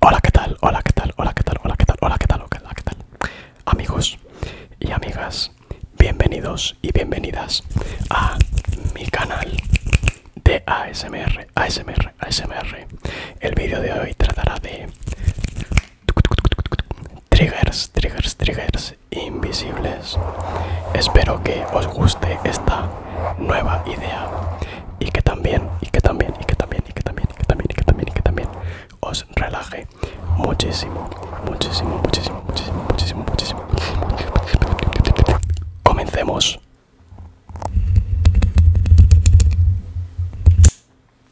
Hola, ¿qué tal? Hola, ¿qué tal? Hola, ¿qué tal? Hola, ¿qué tal? Hola, ¿qué tal? Hola, ¿qué tal? Amigos y amigas, bienvenidos y bienvenidas a mi canal de ASMR, ASMR, ASMR. El vídeo de hoy tratará de triggers, triggers, triggers invisibles. Espero que os guste esta nueva idea y que también, y que también, y que también, y que también, y que también, y que también, y que también os relaje muchísimo, muchísimo, muchísimo, muchísimo, muchísimo, muchísimo. Comencemos.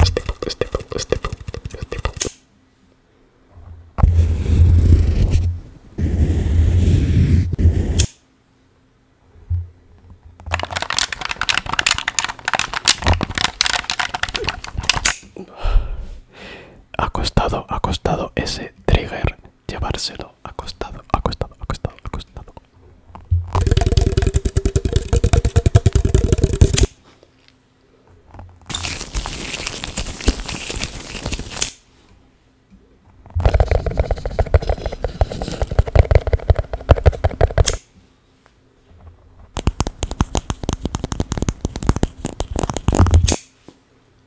Este punto, este este punto, este punto. Ha costado, ha costado ese trigger llevárselo acostado, acostado, acostado, acostado. Qué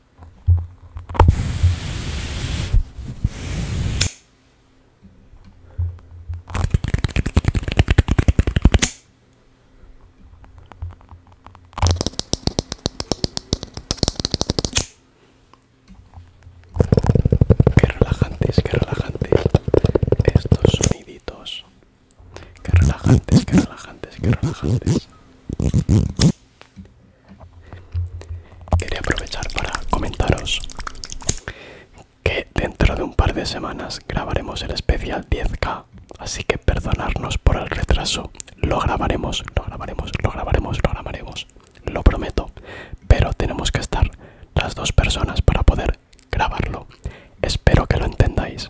relajantes, qué relajantes estos soniditos. Qué relajantes, qué relajantes, qué relajantes. Quería aprovechar para comentaros que dentro de un par de semanas grabaremos el especial 10K, así que perdonarnos por el retraso. Lo grabaremos, lo grabaremos, lo grabaremos, lo grabaremos, lo prometo, pero tenemos que estar las dos personas para poder grabarlo. Espero que lo entendáis.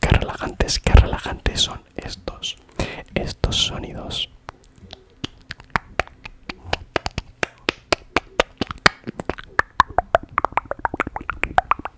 Qué relajantes, qué relajantes son estos, estos sonidos.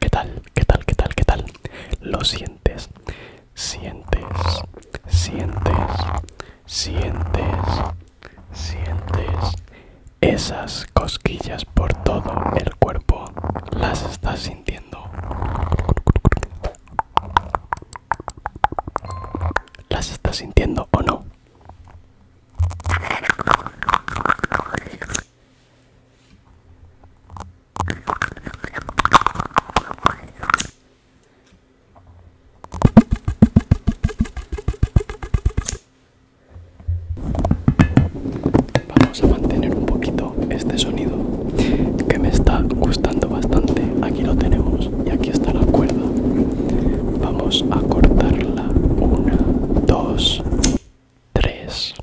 ¿Qué tal? ¿Qué tal? ¿Qué tal? ¿Qué tal? Lo sientes, sientes, sientes, sientes, sientes esas cosquillas por todo el cuerpo. Las estás sintiendo. ¿Las estás sintiendo o no? vamos a mantener un poquito este sonido que me está gustando bastante aquí lo tenemos y aquí está la cuerda vamos a cortarla 1, 2, 3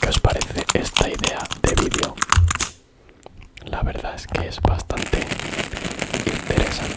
¿Qué os parece esta idea de vídeo? La verdad es que es bastante interesante.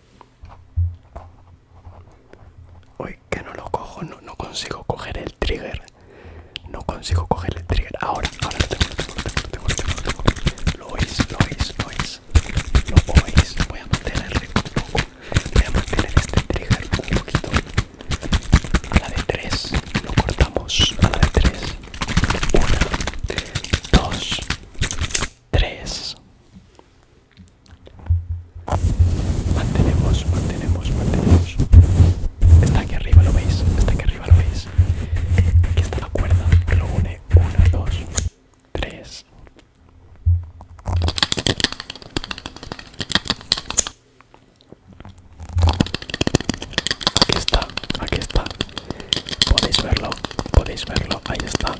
Uy, que no lo cojo, no, no consigo coger el trigger. No consigo coger el trigger. Ahora, ahora lo tengo, lo tengo, lo tengo, lo tengo, lo tengo. Lo oís, lo oís, lo oís. Lo oís. Voy a mantener un poco. Voy a mantener este trigger un poquito. A la de 3. Lo cortamos. A la de 3. 1, 2, 3 mantenemos mantenemos mantenemos está aquí arriba lo veis está aquí arriba lo veis aquí está la cuerda lo une 1 2 3 Aquí está, aquí está, podéis verlo podéis verlo ahí está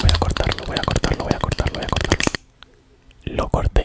voy a cortarlo voy a cortarlo voy a cortarlo voy a cortarlo lo corté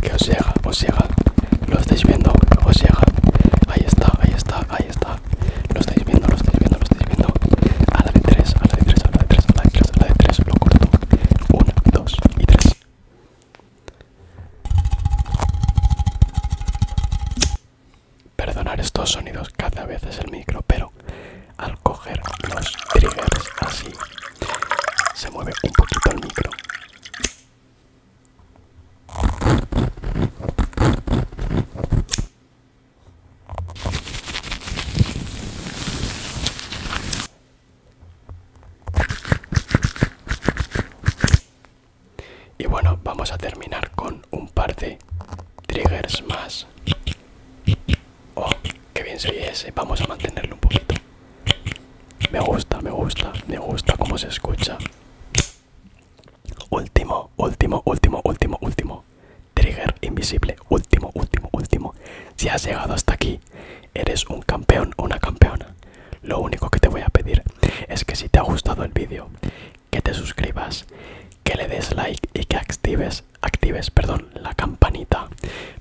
Que os llega, os llega, lo estáis viendo, os llega, ahí está, ahí está, ahí está, lo estáis viendo, lo estáis viendo, lo estáis viendo, a la de 3, a la de 3, a la de 3, a la de 3, la de 3, lo corto. 1, 2 y 3. Perdonar estos sonidos cada vez es el micro, pero al coger los triggers así, se mueve un poquito el micro. Y bueno, vamos a terminar con un par de triggers más. Oh, qué bien se ese. Vamos a mantenerlo un poquito. Me gusta, me gusta, me gusta cómo se escucha. Último, último, último, último, último. Trigger invisible. Último, último, último. Si has llegado hasta aquí, eres un campeón o una campeona. Lo único que te voy a pedir es que si te ha gustado el vídeo, que te suscribas, que le des like y que actives, actives, perdón, la campanita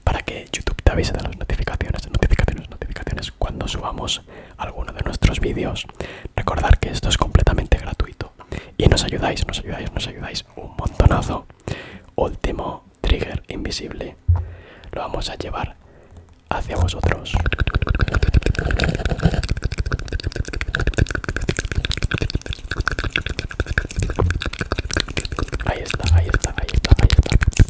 para que YouTube te avise de las notificaciones, notificaciones, notificaciones cuando subamos alguno de nuestros vídeos. Recordar que esto es completamente gratuito y nos ayudáis, nos ayudáis, nos ayudáis un montonazo último trigger invisible lo vamos a llevar hacia vosotros ahí está ahí está ahí está ahí está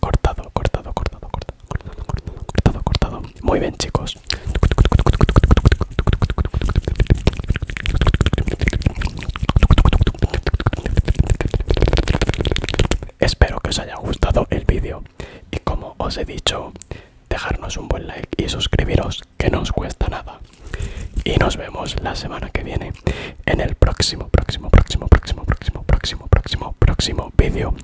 cortado cortado cortado cortado cortado cortado cortado muy bien chicos Espero que os haya gustado el vídeo y como os he dicho, dejarnos un buen like y suscribiros que no os cuesta nada. Y nos vemos la semana que viene en el próximo, próximo, próximo, próximo, próximo, próximo, próximo, próximo vídeo.